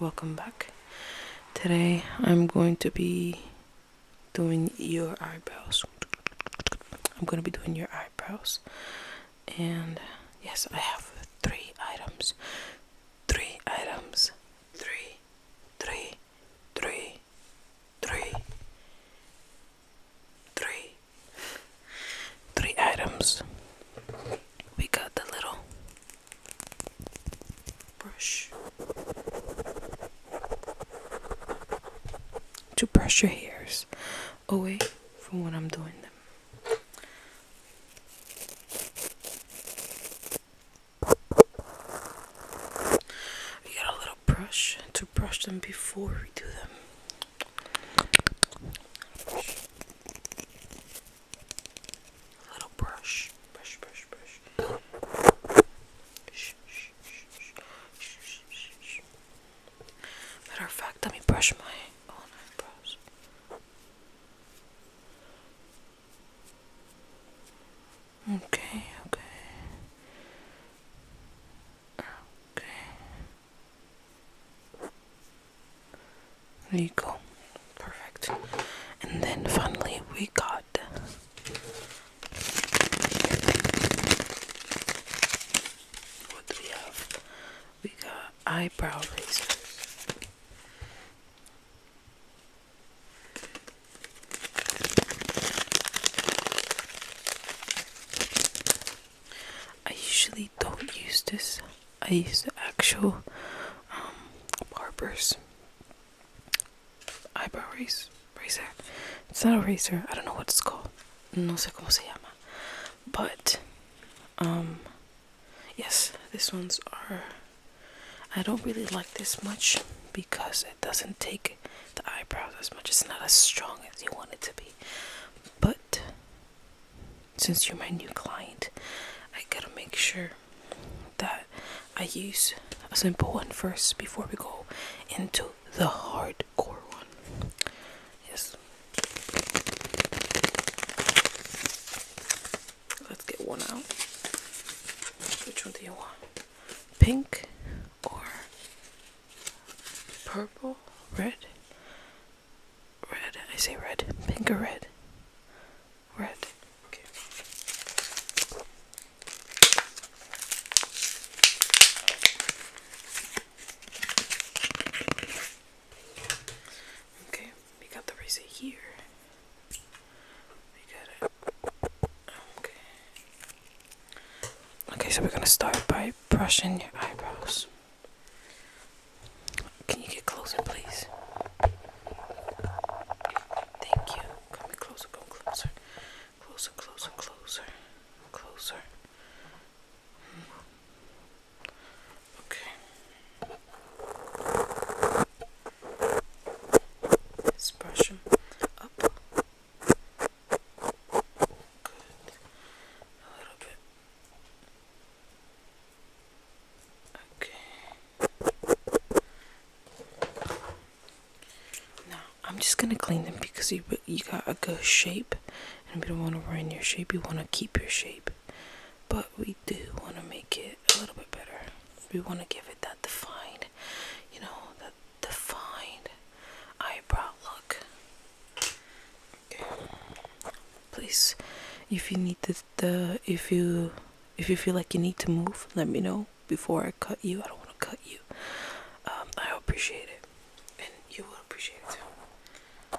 Welcome back. Today I'm going to be doing your eyebrows. I'm going to be doing your eyebrows. And yes, I have three items. Three items. Three. Three three, three, three, three items. We got the little brush to brush your hairs away from when I'm doing them. We got a little brush to brush them before we do them. A little brush, brush, brush, brush. Matter of fact, let me brush my own eyebrows. Okay, okay. Okay. There you go. Perfect. And then finally we got what do we have? We got eyebrow razors. I usually don't use this. I use the actual um, Barber's eyebrow razor. It's not a razor. I don't know what it's called. No sé cómo se llama. But um, Yes, this one's are. I don't really like this much because it doesn't take the eyebrows as much. It's not as strong as you want it to be. But since you're my new client, I gotta make sure that I use a simple one first before we go into the hardcore one. Yes. Let's get one out. Which one do you want? Pink or purple? Red? Red. I say red. Pink or red? Red. Okay. Okay we got the razor here. We got it. Okay. Okay, so we're gonna start by brushing your eyebrows. Can you get closer, please? Thank you. Come closer, come closer. Closer, closer, closer, closer. Okay. Let's brush them up. Good. A little bit. Okay. Now I'm just gonna clean them because you you got a good shape, and we do want to ruin your shape. You want to keep your shape but we do want to make it a little bit better. We want to give it that defined, you know, that defined eyebrow look. Please, if you need the, the if you if you feel like you need to move, let me know before I cut you. I don't want to cut you. Um, I appreciate it, and you will appreciate it too.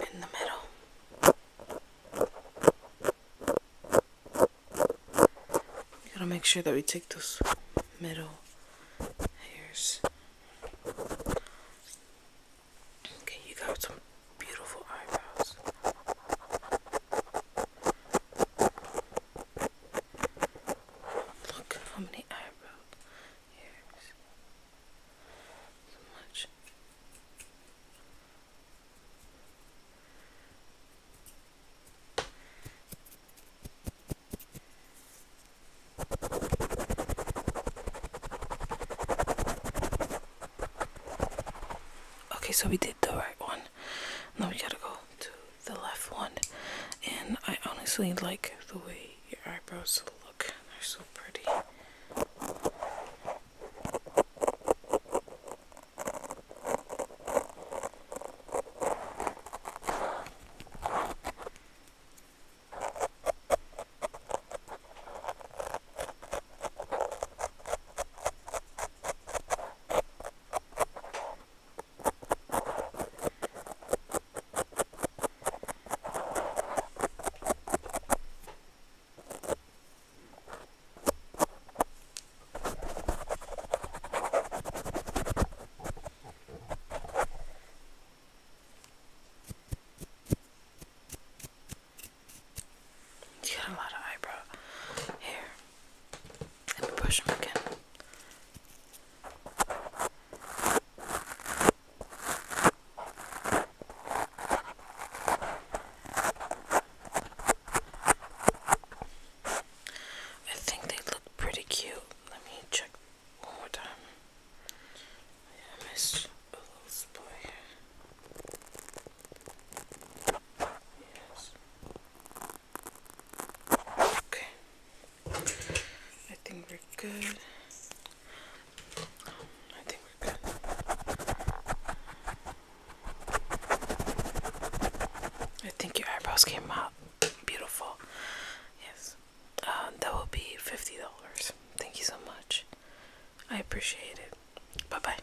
in the middle. gotta make sure that we take those middle hairs. Okay, you got some beautiful eyebrows. Look how many eyebrow So much. Okay, so we did the right one. Now we gotta go to the left one. And I honestly like the way your eyebrows look. They're so pretty. He's got a lot of eyebrow hair. Let me push them again. I think they look pretty cute. Let me check one more time. I missed a little spot here. Okay. I think we're good. I think we're good. I think your eyebrows came out beautiful. Yes. Uh, that will be fifty dollars. Thank you so much. I appreciate it. Bye bye.